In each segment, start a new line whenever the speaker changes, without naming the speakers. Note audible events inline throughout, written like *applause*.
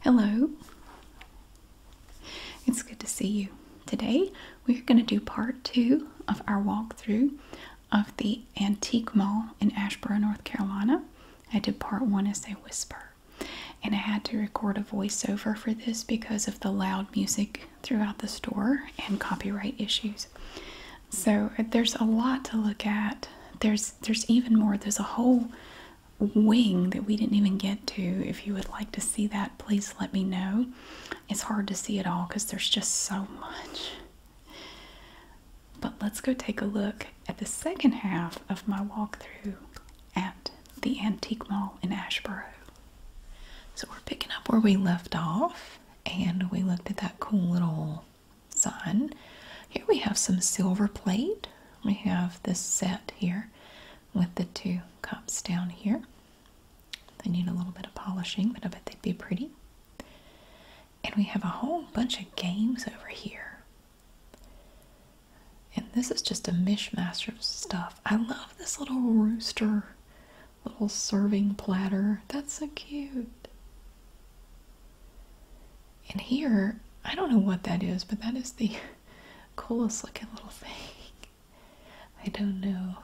Hello. It's good to see you. Today we're going to do part two of our walkthrough of the Antique Mall in Ashboro, North Carolina. I did part one as a whisper, and I had to record a voiceover for this because of the loud music throughout the store and copyright issues. So there's a lot to look at. There's there's even more. There's a whole wing that we didn't even get to. If you would like to see that, please let me know. It's hard to see it all because there's just so much. But let's go take a look at the second half of my walkthrough at the Antique Mall in Ashboro. So we're picking up where we left off and we looked at that cool little sign. Here we have some silver plate we have this set here with the two cups down here. They need a little bit of polishing, but I bet they'd be pretty. And we have a whole bunch of games over here. And this is just a mishmash of stuff. I love this little rooster, little serving platter. That's so cute. And here, I don't know what that is, but that is the *laughs* coolest looking little thing. *laughs* I don't know.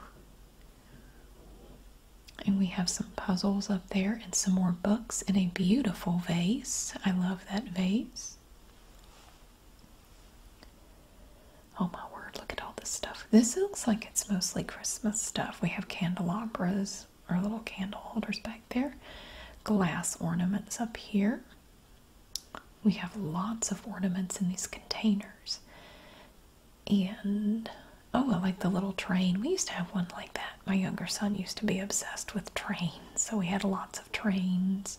And we have some puzzles up there and some more books in a beautiful vase. I love that vase. Oh my word, look at all this stuff. This looks like it's mostly Christmas stuff. We have candelabras our little candle holders back there. Glass ornaments up here. We have lots of ornaments in these containers. And oh, I like the little train. We used to have one like that. My younger son used to be obsessed with trains, so we had lots of trains.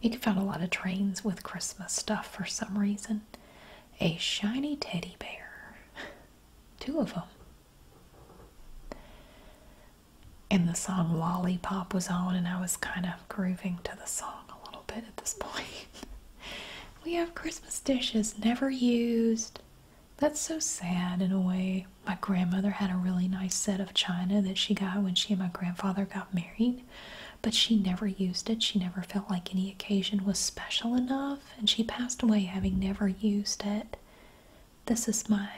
You can find a lot of trains with Christmas stuff for some reason. A shiny teddy bear. *laughs* Two of them and the song Lollipop was on, and I was kind of grooving to the song a little bit at this *laughs* point. we have Christmas dishes never used. That's so sad in a way. My grandmother had a really nice set of china that she got when she and my grandfather got married, but she never used it. She never felt like any occasion was special enough, and she passed away having never used it. This is my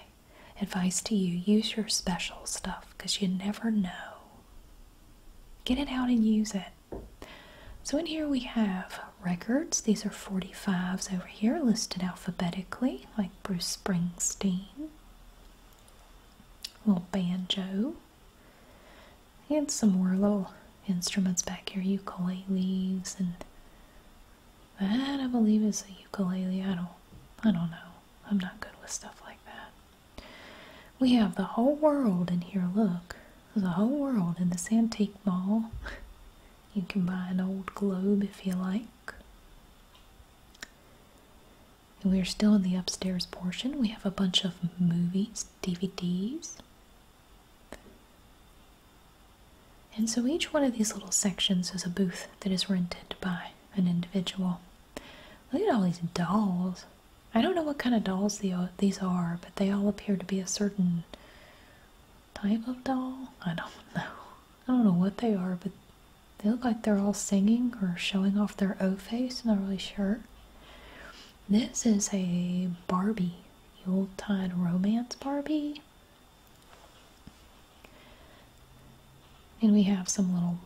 advice to you use your special stuff, 'cause you never know. Get it out and use it. So, in here we have records. These are 45s over here listed alphabetically, like Bruce Springsteen, little banjo, and some more little instruments back here ukuleles and that I believe is a ukulele. I don't I don't know. I'm not good with stuff like that. We have the whole world in here, look. the whole world in this antique mall. *laughs* You can buy an old globe if you like. we are still in the upstairs portion. We have a bunch of movies, DVDs. And so each one of these little sections is a booth that is rented by an individual. Look at all these dolls. I don't know what kind of dolls these are, but they all appear to be a certain type of doll. I don't *laughs* know. I don't know what they are, but they look like they're all singing or showing off their O face. I'm not really sure. This is a Barbie, the old-time Romance Barbie. And we have some little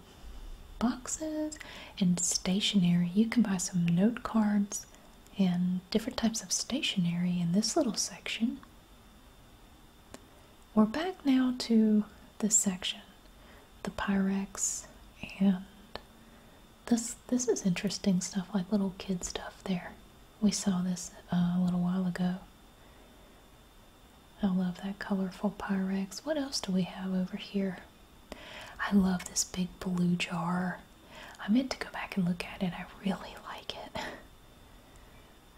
boxes and stationery. You can buy some note cards and different types of stationery in this little section. We're back now to this section, the Pyrex and this this is interesting stuff like little kid stuff there. We saw this uh, a little while ago. I love that colorful Pyrex. What else do we have over here? I love this big blue jar. I meant to go back and look at it. I really like it.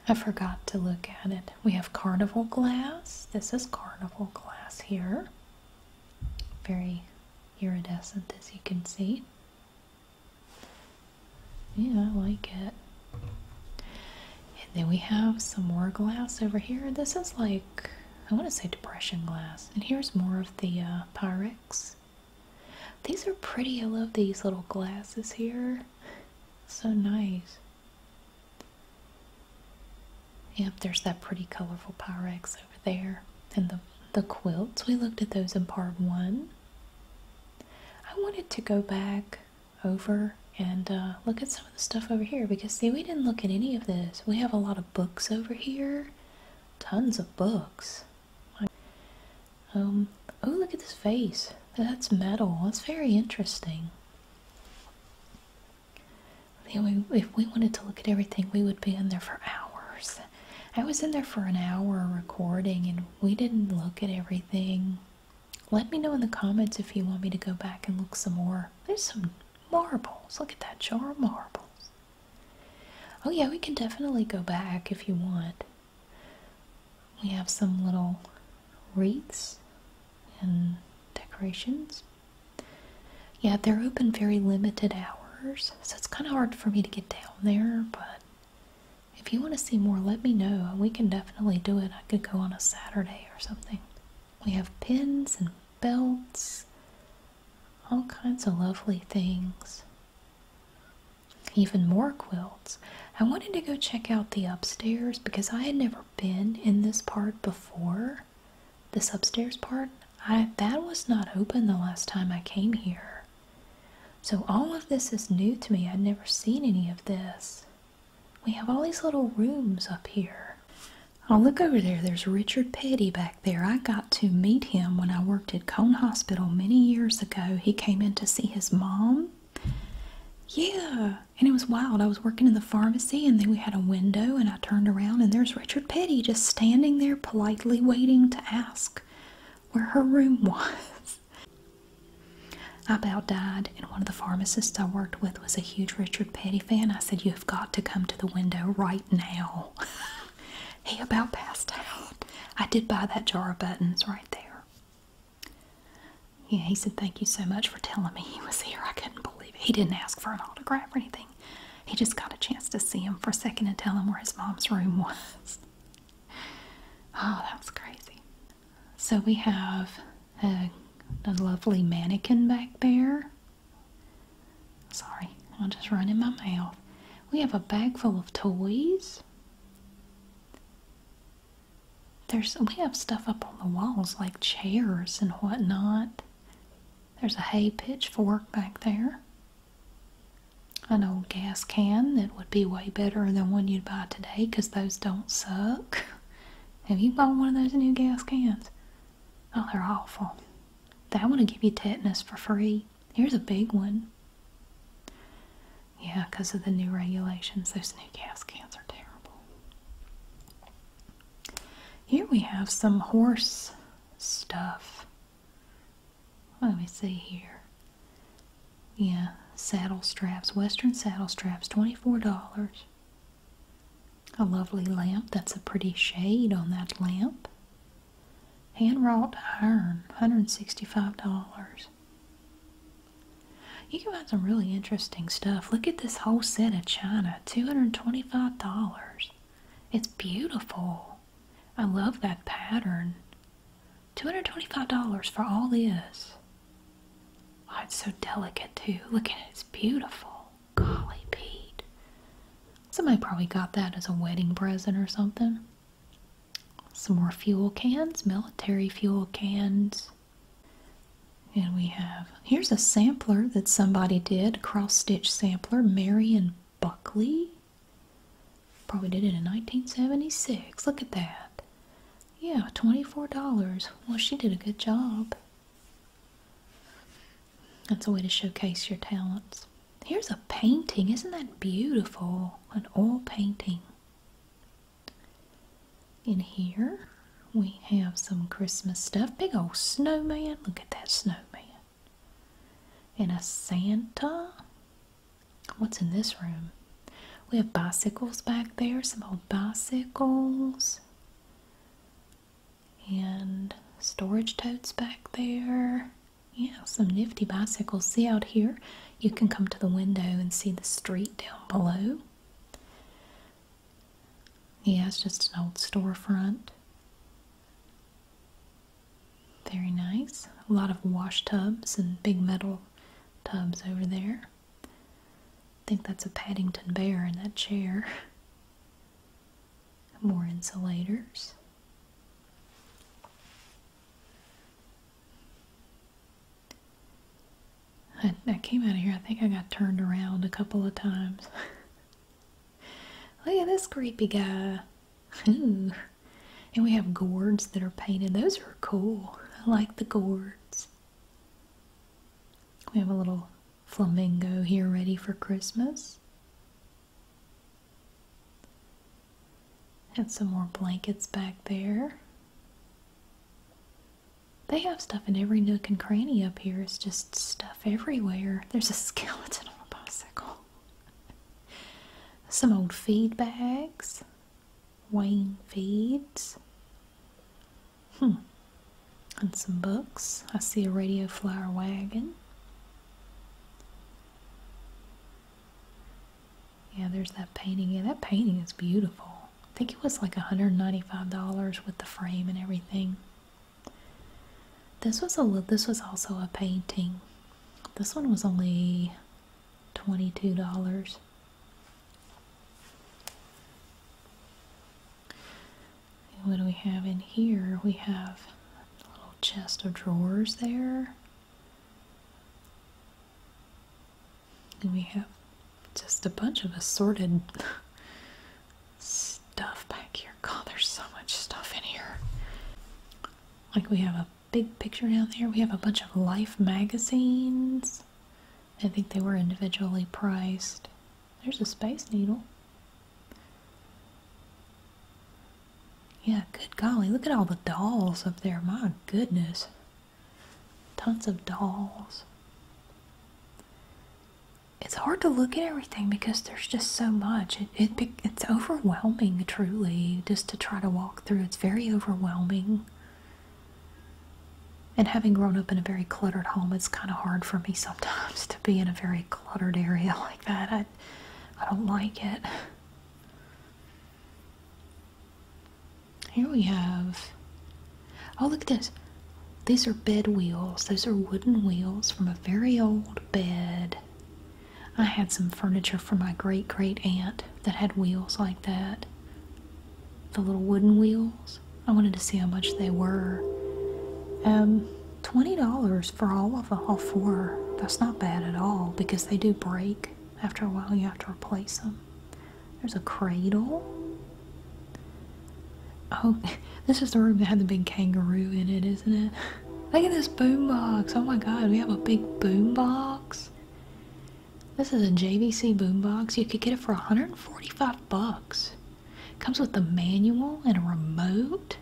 I forgot to look at it. We have carnival glass. This is carnival glass here. Very iridescent as you can see. Yeah, I like it. And then we have some more glass over here. This is like, I want to say depression glass. And here's more of the uh, Pyrex. These are pretty. I love these little glasses here. So nice. Yep, there's that pretty colorful Pyrex over there. And the, the quilts, we looked at those in part one. I wanted to go back over and uh, look at some of the stuff over here because see we didn't look at any of this. We have a lot of books over here. Tons of books. Um, oh look at this vase. That's metal. That's very interesting. If we wanted to look at everything, we would be in there for hours. I was in there for an hour recording and we didn't look at everything. Let me know in the comments if you want me to go back and look some more. There's some marbles. Look at that jar of marbles. Oh, yeah, we can definitely go back if you want. We have some little wreaths and decorations. Yeah, they're open very limited hours, so it's kind of hard for me to get down there, but if you want to see more, let me know. We can definitely do it. I could go on a Saturday or something. We have pins and belts, all kinds of lovely things. Even more quilts. I wanted to go check out the upstairs because I had never been in this part before. This upstairs part, I that was not open the last time I came here. So all of this is new to me. I'd never seen any of this. We have all these little rooms up here. Oh, look over there. There's Richard Petty back there. I got to meet him when I worked at Cone Hospital many years ago. He came in to see his mom. Yeah, and it was wild. I was working in the pharmacy and then we had a window and I turned around and there's Richard Petty just standing there politely waiting to ask where her room *laughs* was. I About died, and one of the pharmacists I worked with was a huge Richard Petty fan. I said, You have got to come to the window right now. *laughs* he about passed out. I did buy that jar of buttons right there. Yeah, he said, Thank you so much for telling me he was here. I couldn't believe it. He didn't ask for an autograph or anything. He just got a chance to see him for a second and tell him where his mom's room *laughs* was. Oh, that was crazy. So we have a, lovely mannequin back there. Sorry, I'm just running my mouth. We have a bag full of toys. There's we have stuff up on the walls like chairs and whatnot. There's a hay pitch pitchfork back there an old gas can that would be way better than one you'd buy today because those don't suck. *laughs* Have you bought one of those new gas cans? Oh, they're awful. That want to give you tetanus for free. Here's a big one. Yeah, because of the new regulations, those new gas cans are terrible. Here we have some horse stuff. Let me see here. Yeah, saddle straps, Western saddle straps, $24. A lovely lamp. That's a pretty shade on that lamp. Hand wrought iron, $165. You can find some really interesting stuff. Look at this whole set of china, $225. It's beautiful. I love that pattern. $225 for all this. Oh, it's so delicate too. Look at it, it's beautiful. Golly, Pete. Somebody probably got that as a wedding present or something. Some more fuel cans, military fuel cans. And we have, here's a sampler that somebody did, cross-stitch sampler, Marion Buckley. Probably did it in 1976. Look at that. Yeah, $24. Well, she did a good job. That's a way to showcase your talents. Here's a painting. Isn't that beautiful? An oil painting. In here, we have some Christmas stuff. Big old snowman. Look at that snowman and a Santa. What's in this room? We have bicycles back there, some old bicycles, and storage totes back there. Yeah, some nifty bicycles. See out here, you can come to the window and see the street down below. Yeah, it's just an old storefront. Very nice. A lot of wash tubs and big metal tubs over there. I think that's a Paddington Bear in that chair. *laughs* More insulators. I came out of here, I think I got turned around a couple of times. *laughs* Look at this creepy guy. *laughs* And we have gourds that are painted. Those are cool. I like the gourds. We have a little flamingo here ready for Christmas. And some more blankets back there. They have stuff in every nook and cranny up here. It's just stuff everywhere. There's a *laughs* skeleton on a bicycle. Some old feed bags, Wayne feeds, hmm, and some books. I see a radio flyer wagon. Yeah, there's that painting. Yeah, that painting is beautiful. I think it was like $195 with the frame and everything. This was a this was also a painting. This one was only twenty-two dollars. What do we have in here? We have a little chest of drawers there. And we have just a bunch of assorted *laughs* stuff back here. God, there's so much stuff in here. Like we have a big picture down there. We have a bunch of Life magazines. I think they were individually priced. There's a Space Needle. Yeah, good golly, look at all the dolls up there. My goodness. Tons of dolls it's hard to look at everything because there's just so much. It, it it's overwhelming, truly, just to try to walk through. It's very overwhelming. And having grown up in a very cluttered home, it's kind of hard for me sometimes to be in a very cluttered area *laughs* like that. I, I don't like it. Here we have. Oh, look at this. These are bed wheels. Those are wooden wheels from a very old bed I had some furniture for my great great aunt that had wheels like that. The little wooden wheels. I wanted to see how much they were. Um, $20 for all of them, all oh, four. That's not bad at all because they do break. After a while, you have to replace them. There's a cradle. Oh, *laughs* this is the room that had the big kangaroo in it, isn't it? Look at this boombox. Oh my god, we have a big boombox. This is a JVC boombox. You could get it for 145 bucks. Comes with the manual and a remote.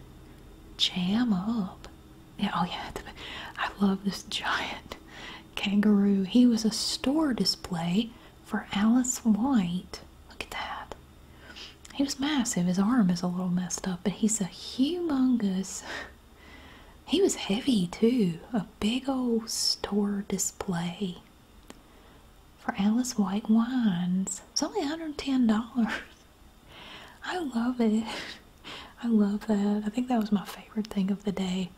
Jam up. Yeah, oh yeah, *laughs* I love this giant kangaroo. He was a store display for Alice White. Look at that. He was massive. His arm is a little messed up, but he's a humongous. *laughs* He was heavy too. A big old store display for Alice White wines. It's only $110. *laughs* I love it. *laughs* I love that. I think that was my favorite thing of the day.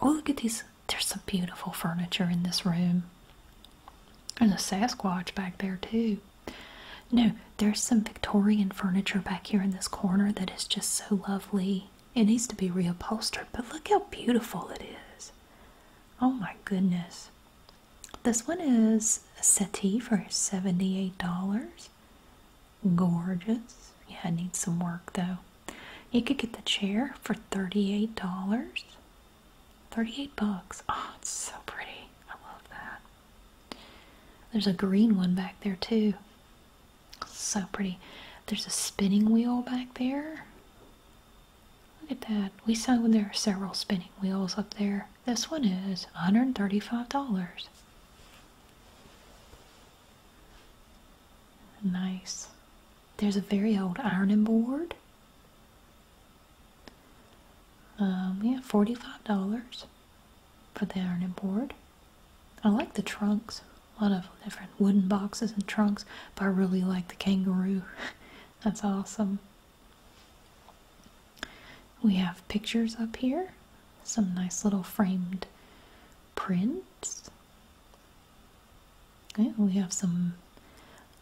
Oh, look at these. There's some beautiful furniture in this room. And a Sasquatch back there too. No, there's some Victorian furniture back here in this corner that is just so lovely. It needs to be reupholstered, but look how beautiful it is. Oh my goodness. This one is a settee for $78. Gorgeous. Yeah, it needs some work though. You could get the chair for $38. 38 bucks. Oh, it's so pretty. I love that. There's a green one back there too. So pretty. There's a spinning wheel back there. Look at that. We saw there are several spinning wheels up there. This one is $135. Nice. There's a very old ironing board. We um, have $45 but they aren't board. I like the trunks. A lot of different wooden boxes and trunks, but I really like the kangaroo. *laughs* That's awesome. We have pictures up here. Some nice little framed prints. we have some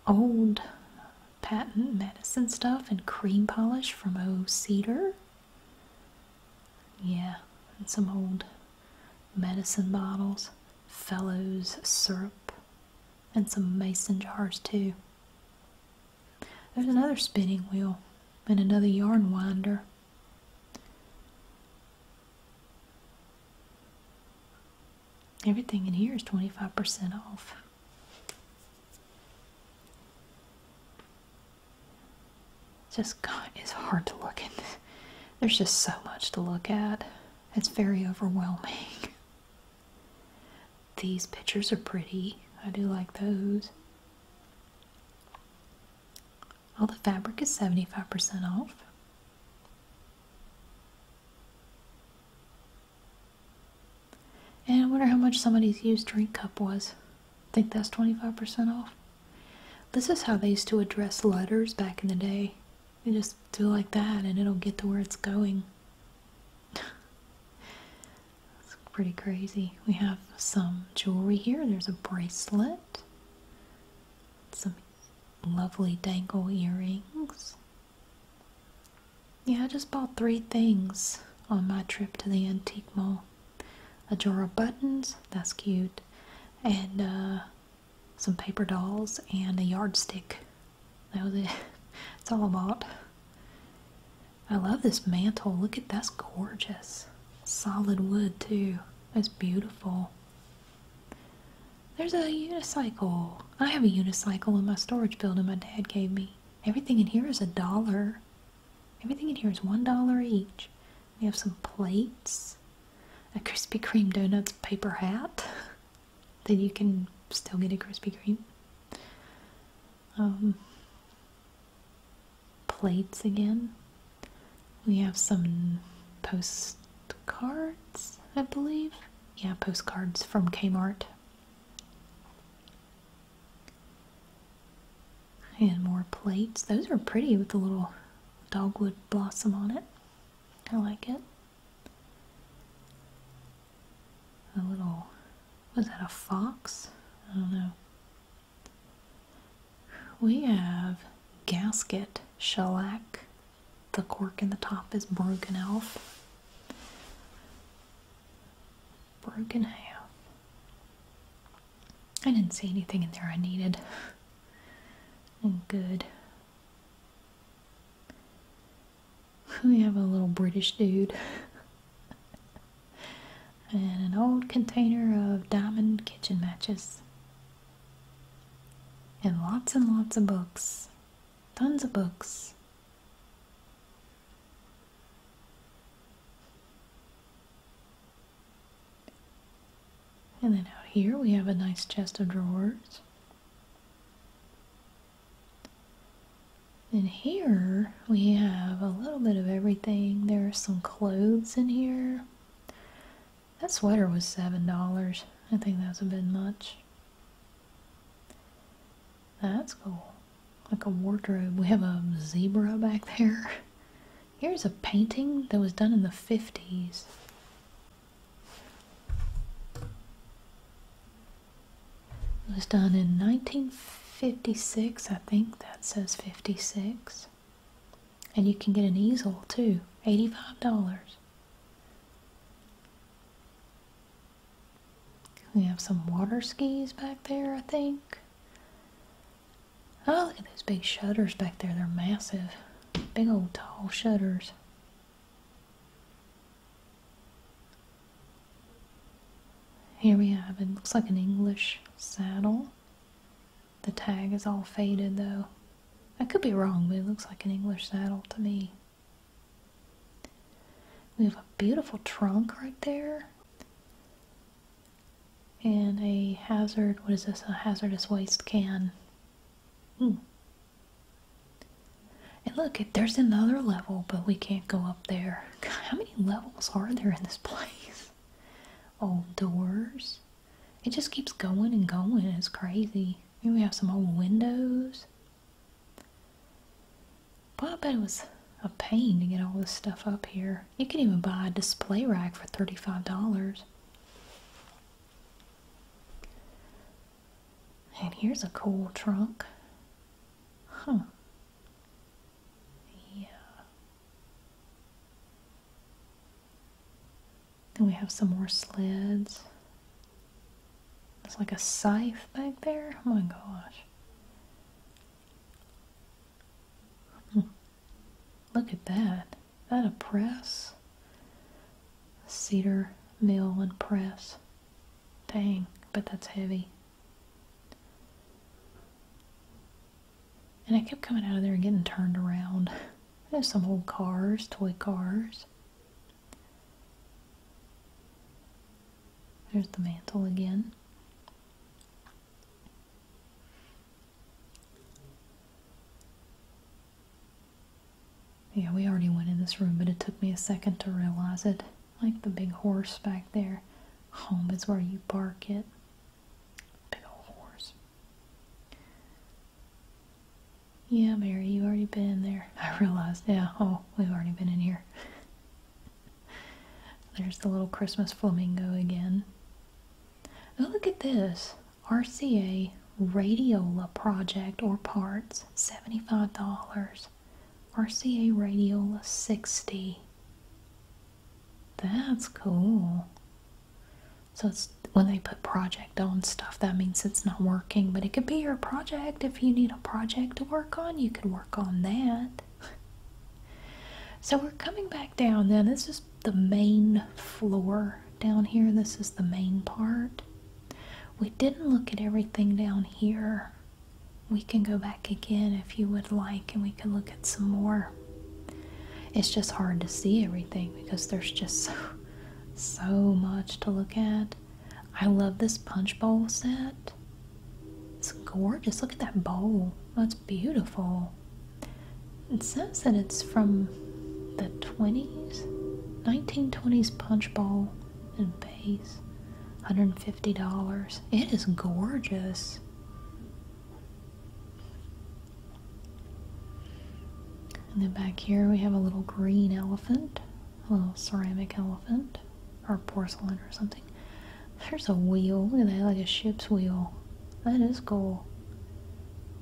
old patent medicine stuff and cream polish from O cedar yeah some old medicine bottles fellows syrup and some mason jars too there's another spinning wheel and another yarn winder Everything in here is 25% off. Just God, it's hard to look at. There's just so much to look at. It's very overwhelming. These pictures are pretty. I do like those. All the fabric is 75% off. And I wonder how much somebody's used drink cup was. think that's 25% off. This is how they used to address letters back in the day. You just do like that and it'll get to where it's going. *laughs* it's pretty crazy. We have some jewelry here. There's a bracelet. Some lovely dangle earrings. Yeah, I just bought three things on my trip to the antique mall. A jar of buttons, that's cute, and uh, some paper dolls and a yardstick. That was it. *laughs* That's all I bought. I love this mantle. Look at that's gorgeous. Solid wood too. That's beautiful. There's a unicycle. I have a unicycle in my storage building my dad gave me. Everything in here is a dollar. Everything in here is one dollar each. We have some plates, a Krispy Kreme donuts paper hat *laughs* Then you can still get a Krispy Kreme. Um, plates again. We have some postcards, I believe yeah, postcards from Kmart. And more plates. Those are pretty with the little dogwood blossom on it. I like it. A little, was that a fox? I don't know. We have gasket shellac the cork in the top is broken off. Broken half. I didn't see anything in there I needed. good. We have a little British dude. *laughs* and an old container of diamond kitchen matches. And lots and lots of books tons of books. And then out here we have a nice chest of drawers. And here we have a little bit of everything. There are some clothes in here. That sweater was $7. I think that's a bit much. That's cool. Like a wardrobe. We have a zebra back there. *laughs* Here's a painting that was done in the 50s. It was done in 1956, I think. That says 56. And you can get an easel too. $85. We have some water skis back there, I think. Oh, look at those big shutters back there. They're massive. Big old tall shutters. Here we have it. Looks like an English saddle. The tag is all faded though. I could be wrong, but it looks like an English saddle to me. We have a beautiful trunk right there. And a hazard, what is this? A hazardous waste can. Hmm. And look, there's another level, but we can't go up there. how many levels are there in this place? *laughs* Old doors. It just keeps going and going. It's crazy. Maybe we have some old windows. But I bet it was a pain to get all this stuff up here. You can even buy a display rack for $35. And here's a cool trunk. Huh. Yeah. Then we have some more sleds. It's like a scythe back there. Oh my gosh. Hmm. Look at that. that a press? Cedar mill and press. Dang, but that's heavy. And I kept coming out of there and getting turned around. *laughs* There's some old cars, toy cars. There's the mantle again. Yeah, we already went in this room, but it took me a second to realize it. Like the big horse back there. Home is where you bark it. Big old horse. Yeah, Mary, you've already been there. *laughs* I realized, yeah, oh, we've already been in here. There's the little Christmas flamingo again. Oh, look at this. RCA Radiola Project or Parts, $75. RCA Radiola 60. That's cool. So it's when they put project on stuff, that means it's not working. But it could be your project. If you need a project to work on, you could work on that. *laughs* So we're coming back down Then This is the main floor down here. This is the main part. We didn't look at everything down here. We can go back again if you would like and we can look at some more. It's just hard to see everything because there's just *laughs* so so much to look at. I love this punch bowl set. It's gorgeous. Look at that bowl. That's beautiful. It says that it's from the 20s, 1920s punch bowl and base, $150. It is gorgeous. And then back here we have a little green elephant, a little ceramic elephant, or porcelain or something. There's a wheel, look at that, like a ship's wheel. That is cool.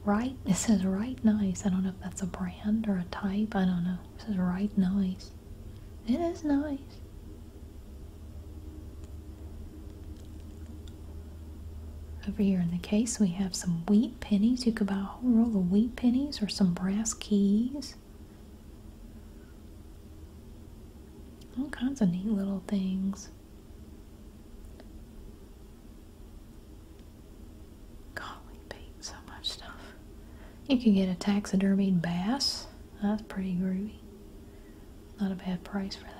Right, it says Right Nice. I don't know if that's a brand or a type, I don't know. It says Right Nice. It is nice. Over here in the case, we have some wheat pennies. You could buy a whole roll of wheat pennies or some brass keys. All kinds of neat little things. Golly, Pete, so much stuff. You can get a taxidermied bass. That's pretty groovy. Not a bad price for that.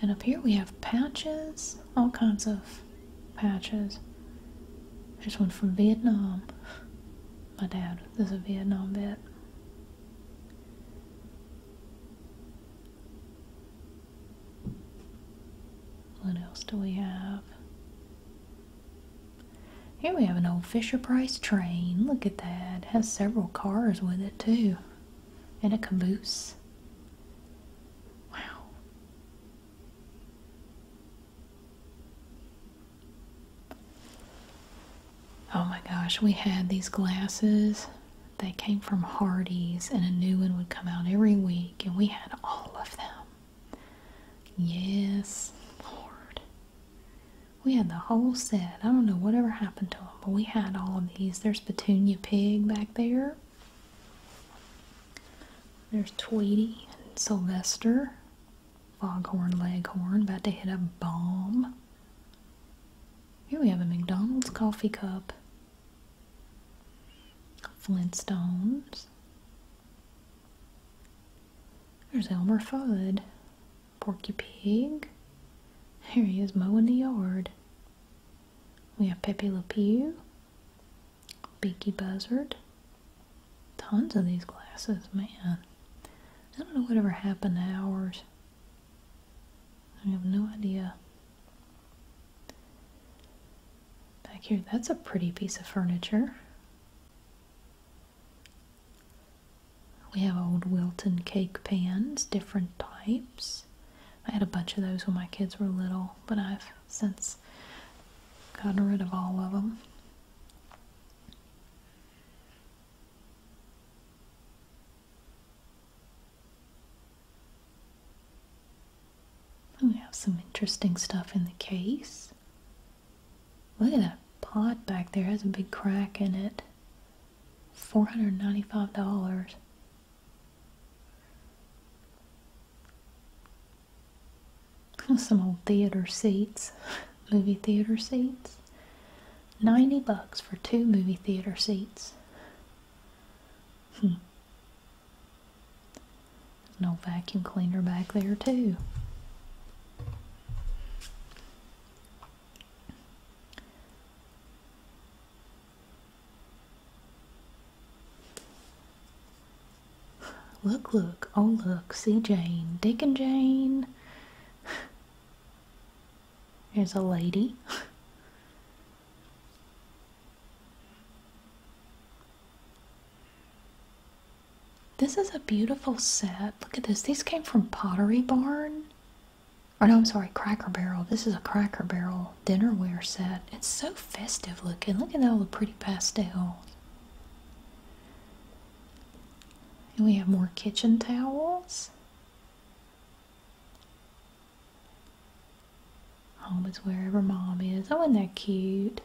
And up here we have patches, all kinds of patches. There's one from Vietnam. My dad is a Vietnam vet. What else do we have? Here we have an old Fisher Price train. Look at that. It has several cars with it too in a caboose? Wow. Oh my gosh, we had these glasses. They came from Hardy's, and a new one would come out every week, and we had all of them. Yes, Lord. We had the whole set. I don't know whatever happened to them but we had all of these. There's Petunia Pig back there. There's Tweety and Sylvester. Foghorn Leghorn about to hit a bomb. Here we have a McDonald's coffee cup. Flintstones. There's Elmer Fudd. Porky Pig. Here he is mowing the yard. We have Pepe Le Pew, Beaky Buzzard. Tons of these glasses, man. I don't know whatever happened to ours. I have no idea. Back here, that's a pretty piece of furniture. We have old Wilton cake pans, different types. I had a bunch of those when my kids were little, but I've since gotten rid of all of them. We have some interesting stuff in the case. Look at that pot back there, has a big crack in it. $495. Some old theater seats, *laughs* movie theater seats. 90 bucks for two movie theater seats. Hmm. No vacuum cleaner back there too. Look, look, oh look, see Jane, Dick and Jane. There's a lady. This is a beautiful set. Look at this. These came from Pottery Barn. Or oh, no, I'm sorry, Cracker Barrel. This is a Cracker Barrel dinnerware set. It's so festive looking. Look at all the pretty pastels. And we have more kitchen towels. Home is wherever mom is. Oh, isn't that cute?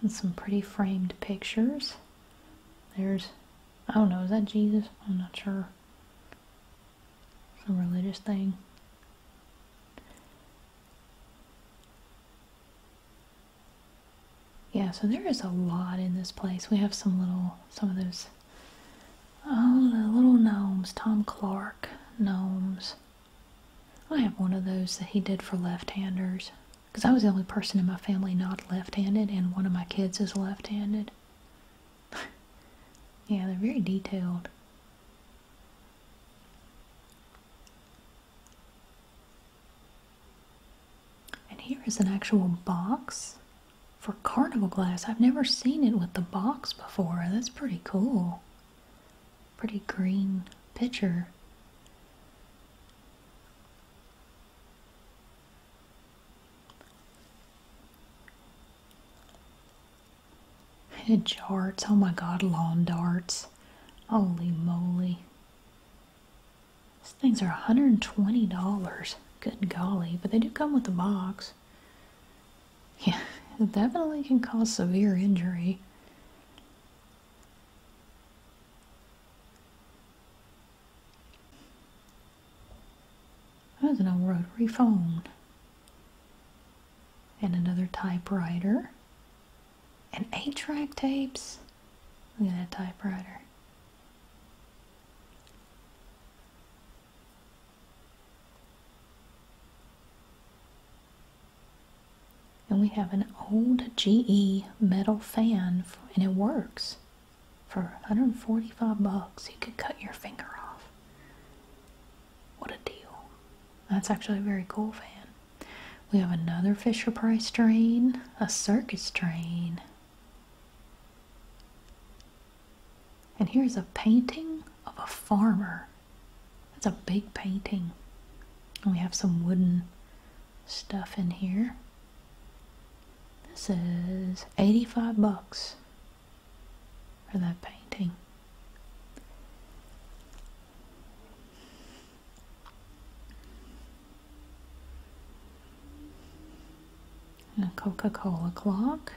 And some pretty framed pictures. There's, I don't know, is that Jesus? I'm not sure. Some religious thing. Yeah, so there is a lot in this place. We have some little, some of those Oh, the little gnomes, Tom Clark gnomes. I have one of those that he did for left-handers because I was the only person in my family not left-handed and one of my kids is left-handed. *laughs* yeah, they're very detailed. And here is an actual box for carnival glass. I've never seen it with the box before. That's pretty cool. Pretty green pitcher. darts. Oh my god, lawn darts. Holy moly. These things are $120. Good golly. But they do come with a box. Yeah, it definitely can cause severe injury. There's an old rotary phone. And another typewriter. And eight track tapes. Look at that typewriter. And we have an old GE metal fan, and it works for 145 bucks. You could cut your finger off. What a deal! That's actually a very cool fan. We have another Fisher Price train, a circus train, and here's a painting of a farmer. That's a big painting. And we have some wooden stuff in here. This is 85 bucks for that painting a Coca-Cola clock.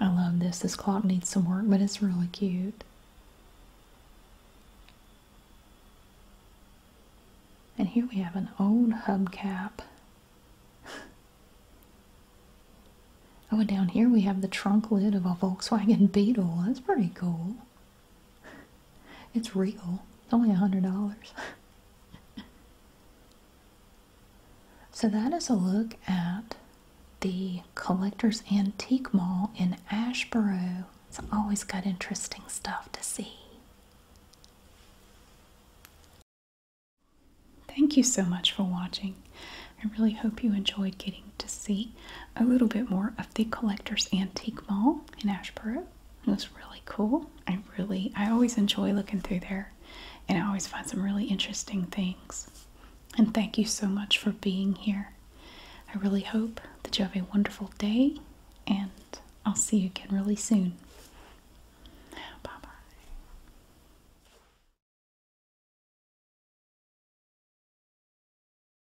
I love this. This clock needs some work, but it's really cute. And here we have an old hubcap. oh, and down here we have the trunk lid of a Volkswagen Beetle. That's pretty cool. *laughs* it's real. It's only a hundred dollars. *laughs* so that is a look at the Collector's Antique Mall in Ashboro. It's always got interesting stuff to see. Thank you so much for watching. I really hope you enjoyed getting to see a little bit more of the Collector's Antique Mall in Ashboro. It was really cool. I really, I always enjoy looking through there and I always find some really interesting things. And thank you so much for being here. I really hope that you have a wonderful day and I'll see you again really soon. Bye bye.